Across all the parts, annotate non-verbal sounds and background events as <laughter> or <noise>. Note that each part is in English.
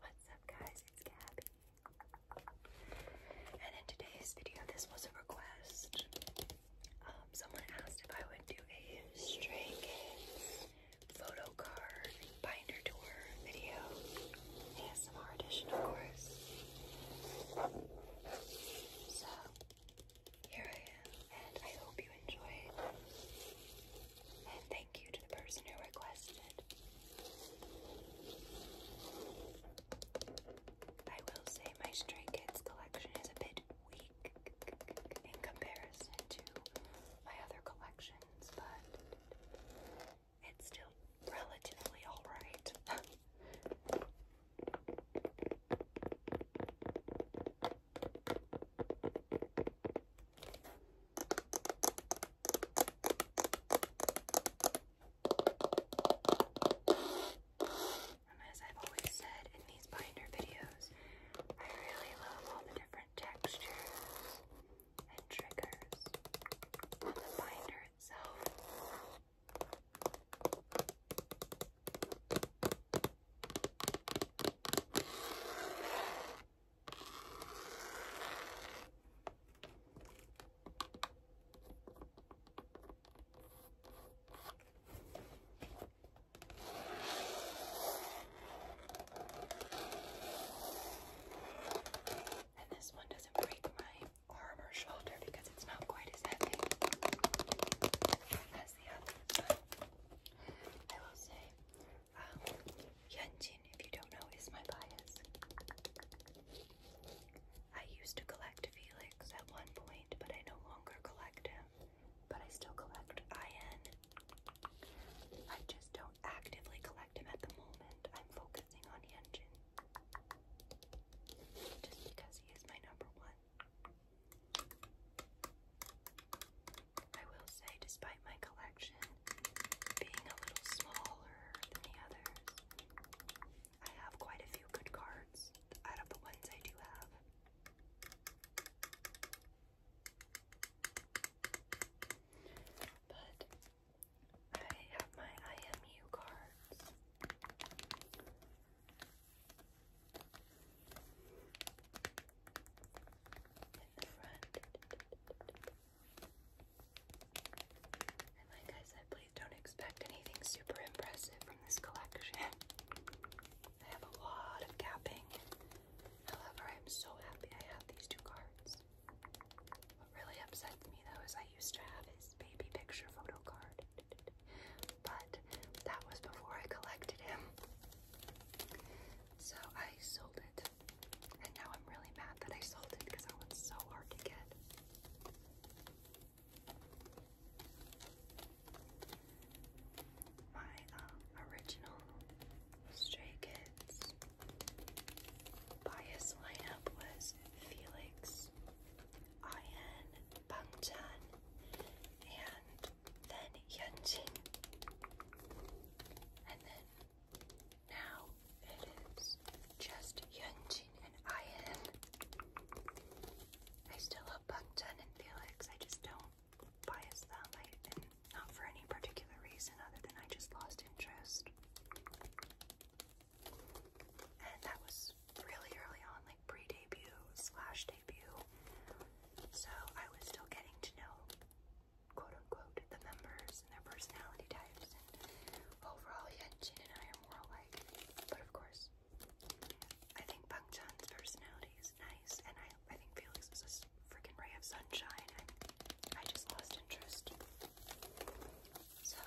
What's up guys, it's Gabby. And in today's video, this was a request. Um, someone asked if I would do a Stray Kids photo card binder tour video. ASMR edition, of course. So, here I am and I hope you enjoy And thank you to the person who requested. I will say my Stray Kids collection is a bit weak in comparison to my other collections, but it's still relatively alright. <laughs> as I've always said in these binder videos, I really love all the different textures and triggers on the binder itself. And this one doesn't break my arm or shoulder because it's not quite as heavy as the other. But I will say um, Yunjin, if you don't know, is my bias. I used to collect Felix at one point, but I no longer collect him. But I still collect Ian. I just don't actively collect him at the moment. I'm focusing on Yunjin. Just because he is my number one. I will say, despite my collection being a little smaller than the others, I have quite a few good cards out of the ones I do have. But I have my IMU cards. And like I said, please don't expect anything super impressive from this collection. <laughs> I have a lot of capping. However, I'm so happy I have these two cards. What really upsets me though is I used to have his baby picture photo card. But that was before I collected him. So I sold it. And now I'm really mad that I sold it because that was so hard to get. My um, original Stray Kids bias lineup was Felix, Ian, Bangtan, and then Yunjin, and then now it is just Yunjin and Ian. I still love Bangtan and Felix. I just don't bias them, I, and not for any particular reason other than I just lost interest. And that was really early on, like pre-debut slash debut. So I was still getting to know quote unquote the members and their personality types overall yeah and I are more alike but of course I think Bang Chan's personality is nice and I, I think Felix is a freaking ray of sunshine and I just lost interest so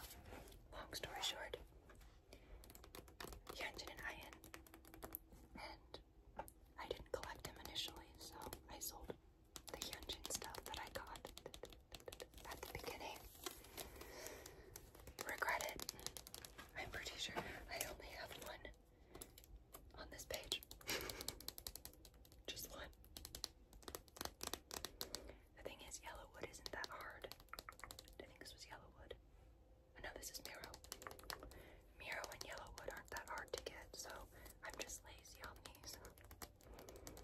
long story short Yeonjin and Ian and I didn't collect them initially, so I sold the henge stuff that I got at the beginning. Regret it. I'm pretty sure I only have one on this page. <laughs> Just one. The thing is, Yellowwood isn't that hard. I think this was Yellowwood. I oh, know this is Miro. Miro and Yellowwood aren't that hard to get, so I'm just lazy on these.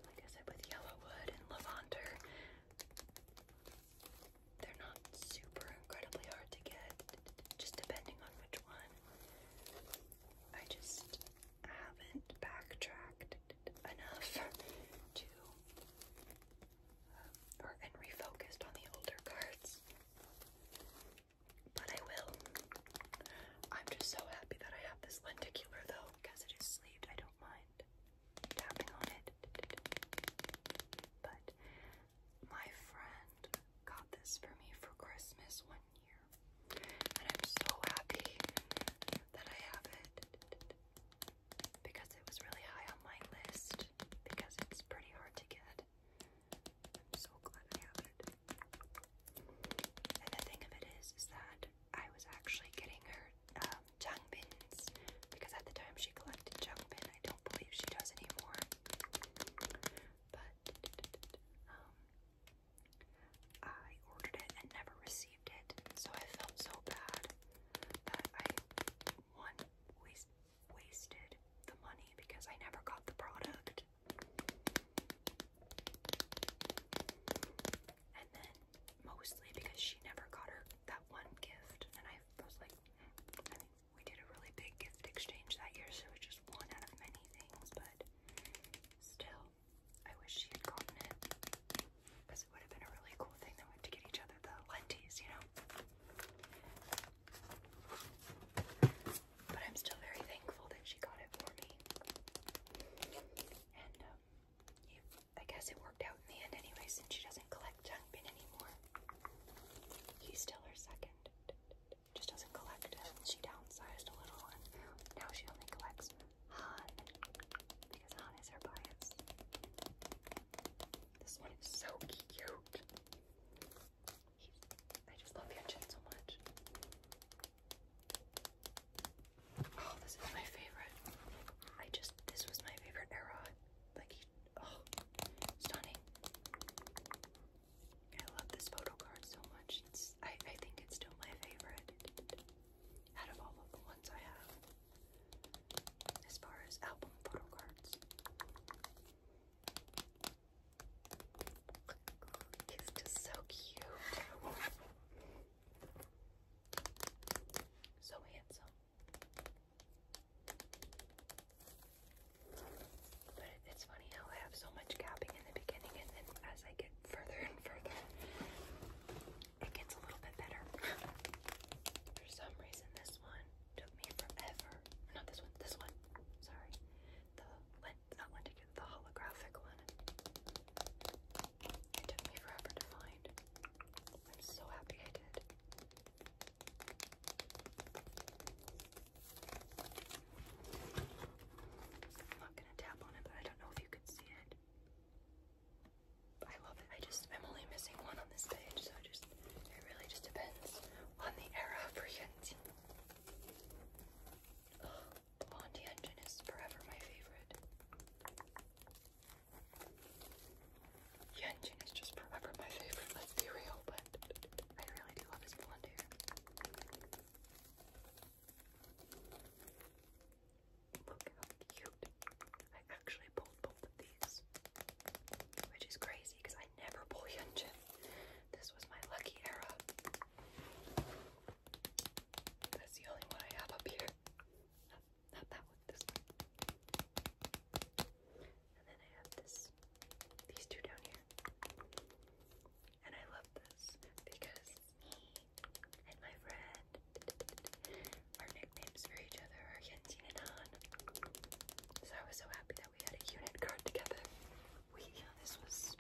Like I said, with Yellowwood and Levanter, they're not super incredibly hard to get, just depending on which one. I just haven't backtracked enough to, uh, or refocused on the older cards but I will. I'm just so happy that I have this lenticular though, because it is sleeved. I don't mind tapping on it. But my friend got this for me for Christmas one year, and I'm so happy that I have it because it was really high on my list because it's pretty hard to get. I'm so glad I have it. And the thing of it is, is that I was actually getting her um, changbins because at the time she collected changbin. I don't believe she does anymore. But um, I ordered it and never received it, so I felt so bad that I one wasted the money because I never got the product. And then mostly because she never got her that one gift, and I was like, hmm, I mean, we did a really big gift exchange that year, so it's just one out of many things, but still, I wish she had gotten it because it would have been a really cool thing that we to get each other the lenties, you know. But I'm still very thankful that she got it for me. And um, I guess it worked out in the end anyway since she doesn't collect Jungbin anymore. He's still her second. Just doesn't collect She downsized a little and now she only collects Han. Because Han is her bias. This one is so cute. I just love your engine so much. Oh, this is my favorite. I just, this was my favorite era. Like, he, oh, stunning. I love this photo card so much. It's, I, I think it's still my favorite out of all of the ones I have. As far as album photo cards. He's just so cute. So handsome. But it's funny how I have so much gapping in the beginning and then as I get further and further, it gets a little bit better. For some reason this one took me forever. Not this one, this one. Sorry the lint, not linted, the holographic one. It took me forever to find. I'm so happy I did. I'm not gonna tap on it, I don't know if you could see it. I love it. I just, I'm only missing one on this page, so just, it really just depends on the era of Brian's. Blondie engine is forever my favorite. Yenjin is just forever my favorite, let's be real, but I really do love his blonde hair. Look cute. I actually pulled both of these. Which is crazy because I never pull Yenjin. This was my lucky era. That's the only one I have up here. not that one, this And then I have this, these two down here. And I love this because me and my friend, our nicknames for each other are Yentin and Han. So I was so happy that we had a unit card together. We this was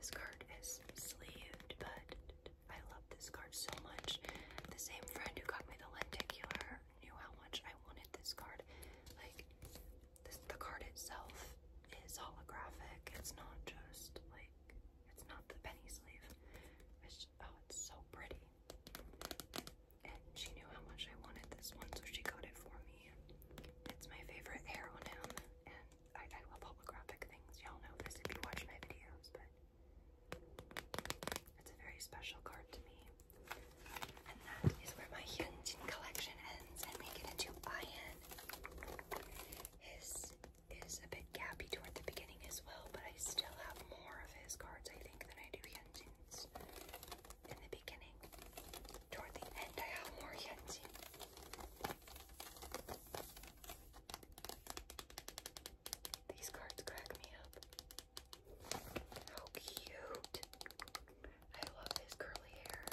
this card is sleeved, but I love this card so much. The same friend who got me the lenticular knew how much I wanted this card. Like this the card itself is holographic. It's not just like it's not the penny sleeve. It's oh it's so pretty. And she knew how much I wanted this one, so she got it for me. It's my favorite hair on and I, I love holographic things. Y'all know this if you watch my videos, but it's a very special card to me. And that is where my Hyunjin collection ends, and we get into Ian. His is a bit gappy toward the beginning as well, but I still have more of his cards, I think, than I do Hyunjin's in the beginning. Toward the end, I have more Yeti. These cards crack me up. How cute! I love his curly hair.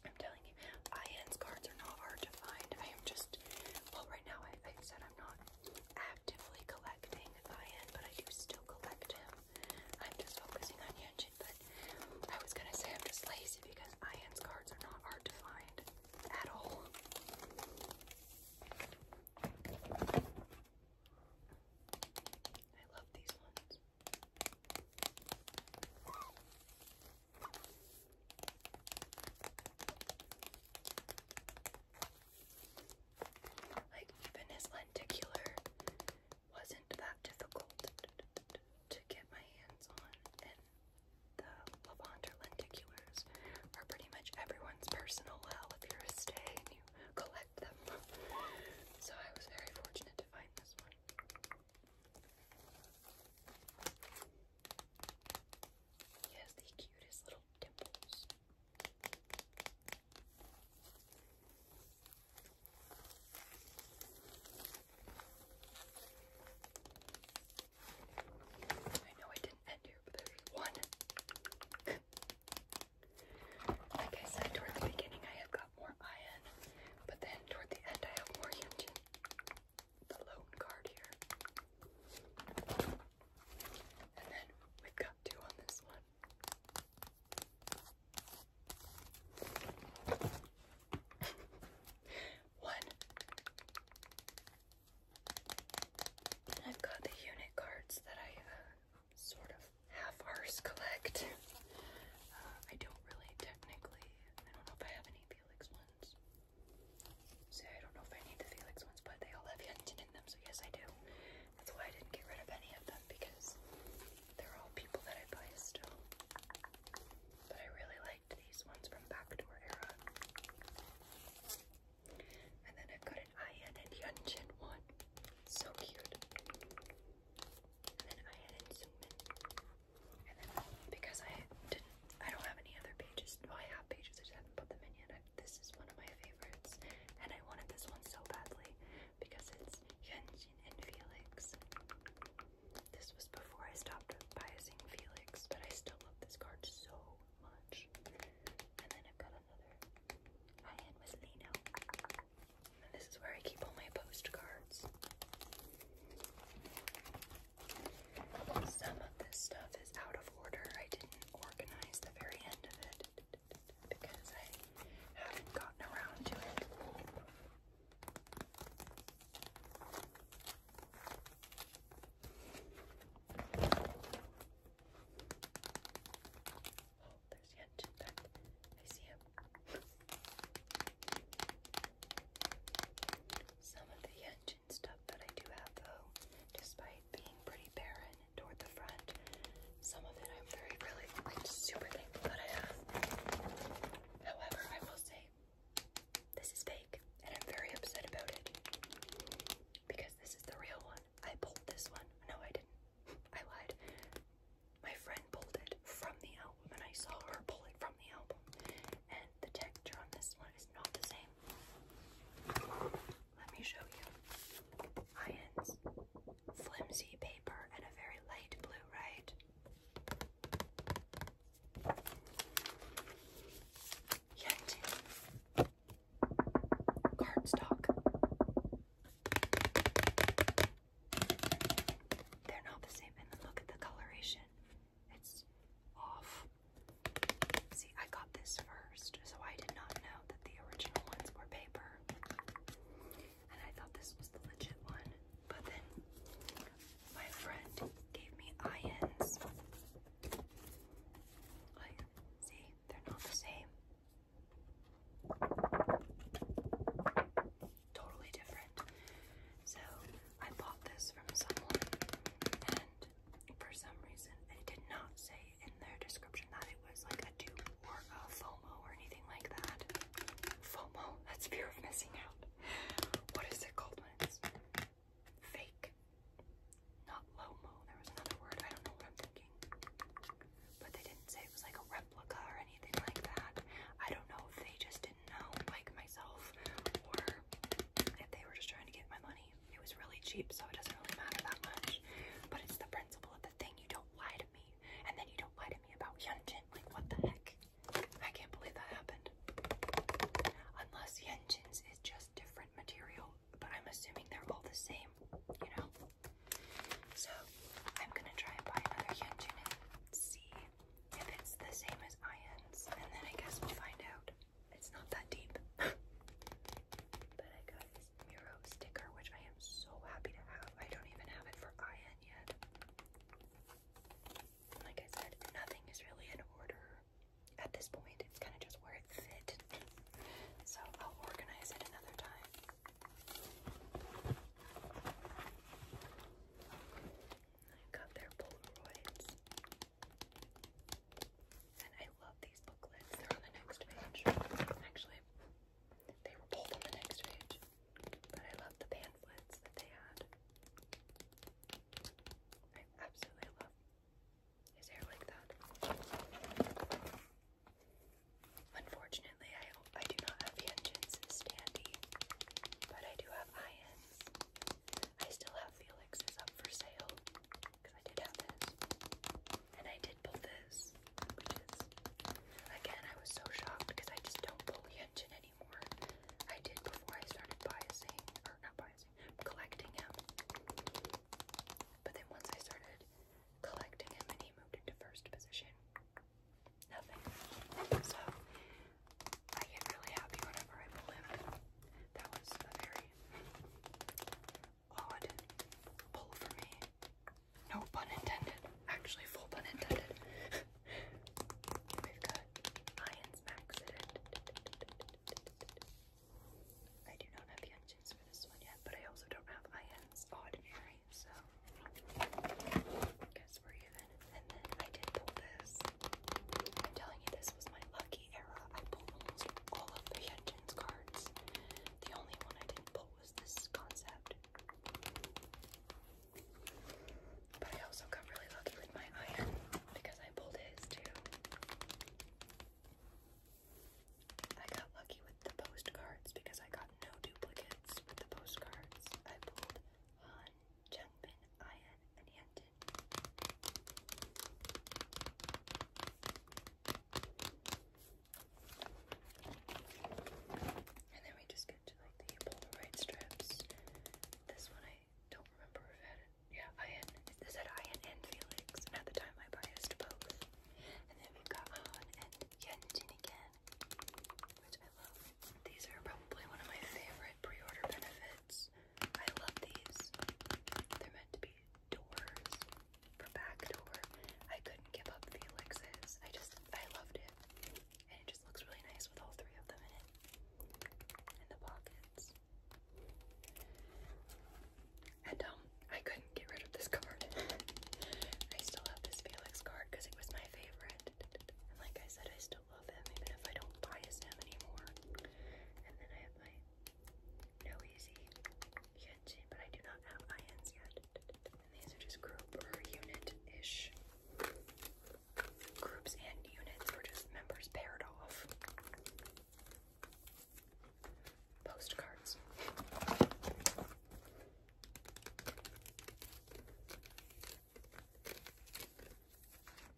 I'm Ian's cards are not hard to find. I am just, well, right now I, said I'm not actively collecting Ian, but I do still collect him. I'm just focusing on Yunjin, but I was gonna say I'm just lazy because Ian's cards are not hard to find at all. I love these ones. Like, even his lenticular wasn't that difficult to get my hands on, and the Levanter lenticulars are pretty much everyone's personal well if you're a stay and you collect them. so I was very fortunate to find this one. He has the cutest little dimples. I know I didn't end here, but there's one. like I said, toward the beginning I have got more iron, but then toward the end I have more Yunjin the loan card here. And then we've got two on this one. <laughs> one. I've got the unit cards that I uh, sort of half-arse collect. Uh, I don't really technically, I don't know if I have any Felix ones ones. So I don't know if I need the Felix ones, but they all have Yentin in them, so yes I do. That's why I didn't get rid of any of them, because they're all people that I buy still. But I really liked these ones from Backdoor Era. And then I've got an Ayan and Yunjin one. So cute. And then Ayan and Zoom because I didn't, I don't have any other pages. Well, I have pages, I just haven't put them in yet. this is one of my favorites, and I wanted this one so badly because it's Hyunjin and Felix. This was before I stopped biasing Felix, but I still love this card so much. And then I've got another. I am with Lino. And this is where I keep all my postcards. Some of this stuff is out of order. I didn't organize the very end of it because I haven't gotten around to it. Oh, there's yet I see him. Some of the yen stuff that I do have though, despite being pretty barren toward the front. Some of it I'm very, really, super thankful that I have. However, I will say, this is fake, and I'm very upset about it. Because this is the real one. I pulled this one. No, I didn't. <laughs> I lied. My friend pulled it from the album, and I saw her pull it from the album and the texture on this one is not the same. Let me show you. Ions, flimsy paper, and a very light blue, right? cardstock. They're not the same, and look at the coloration. It's off. See, I got this first, so I did not know that the original ones were paper. And I thought this was the legit one. But then my friend gave me ions. Like, see, they're not the same. Totally different. So I bought this from someone and for some reason it did not say in their description that it was like a dupe or a FOMO or anything like that. FOMO, that's fear of missing out. What is it called when it's fake? Not LOMO, there was another word, I don't know what I'm thinking. But they didn't say it was like a replica or anything like that. I don't know they just did like myself, or if they were just trying to get my money. It was really cheap, so it doesn't really matter that much. But it's the principle of the thing. You don't lie to me, and then you don't lie to me about Hyunjin. Like, what the heck? I can't believe that happened. Unless Hyunjin's is just different material, but I'm assuming they're all the same, you know? So, I'm gonna try and buy another Hyunjin and see if it's the same as Ian's, and then I guess we find out. It's not that deep. <laughs> but I got this Miro sticker, which I am so happy to have. I don't even have it for Ian yet. Like I said, nothing is really in order at this point. It's kind of just where it fit. So I'll organize it another time. I got their Polaroids. And I love these booklets. They're on the next page. Actually, they were both on the next page. But I love the pamphlets that they had. I absolutely love his hair like that. Unfortunately, I I do not have engines standy, but I do have irons. I still have Felix's up for sale because I did have this. And I did pull this, which is, again, I was so shocked because I just don't pull the anymore. I did before I started biasing, or not biasing, collecting him. But then once I started collecting him and he moved into first position, nothing. So I get really happy whenever I pull That was a very odd pull for me. No pun intended. Actually, full pun intended. We've got Lions Max I do not have the engines for this one yet, but I also don't have ions ordinary, so guess we're even and then I did pull this. I'm telling you, this was my lucky era. I pulled almost all of the engines cards. The only one I didn't pull was this concept. But I also got really lucky with my iron because I pulled his too. I got lucky with the postcards because I got no duplicates with the postcards. I pulled one, Jung Bin, Ian, and Hyunjin. And then we just get to like the Polaroid strips. This one I don't remember if it had it. Yeah, Ian. This had Ian and Felix, and at the time I biased both. And then we've got Han and Hyunjin again, which I love. These are probably one of my favorite pre-order benefit I love these. They're meant to be doors for back I couldn't give up Felix's. I just, I loved it. And it just looks really nice with all three of them in it. the pockets. And um, I couldn't get rid of this <laughs> card. I still have this Felix card because it was my favorite. like I said, I still love him even if I don't buy as anymore. And then I have my No Easy Yenshin, but I do not have INs yet. And these are just group or unit-ish. Groups and units or just members paired off. Postcards.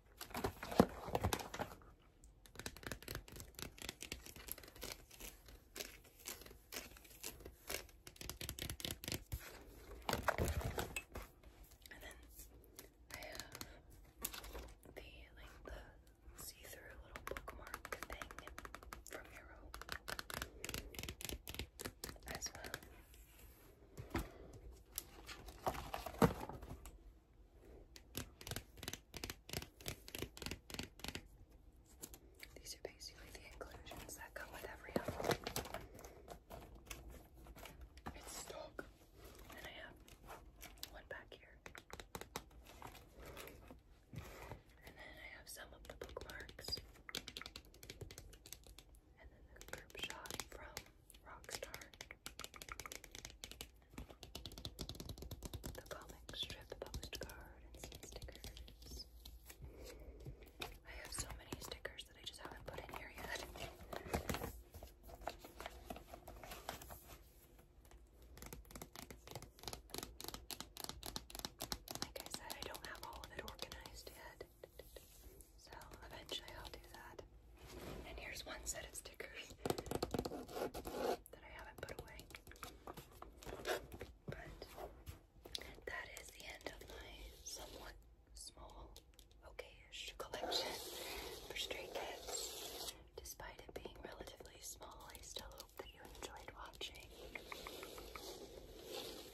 And then I have the like the see-through little bookmark thing from Euro as well. These are basically the inclusions that come with every album. It's stock. And I have one back here. And then I have some of the bookmarks and then the group shot from Rockstar. The comic strip postcard stickers. I have so many stickers that I just haven't put in here yet. Like I said, I don't have all of it organized yet. So eventually I'll do that. And here's one set of stickers that I haven't put away. But that is the end of my somewhat small, okayish collection for Stray Kids. Despite it being relatively small, I still hope that you enjoyed watching.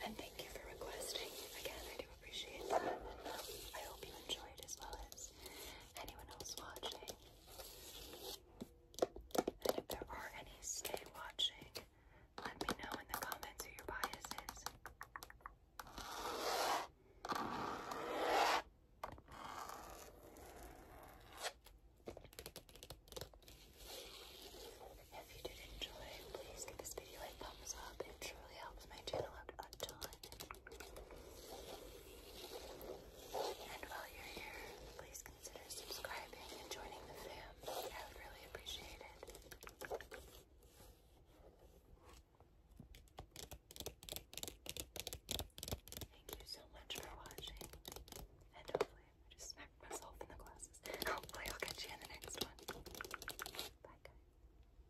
And thank you for requesting. Again, I hope you enjoyed as well as anyone else watching. And if there are any stay watching, let me know in the comments who your bias is. If you did enjoy, please give this video a thumbs up. It truly helps my channel out a ton. And while you're here, please consider subscribing and joining the fam. I would really appreciate it. Thank you so much for watching. And hopefully, I just smacked myself in the glasses. <laughs> Hopefully, I'll catch you in the next one. Bye, guys.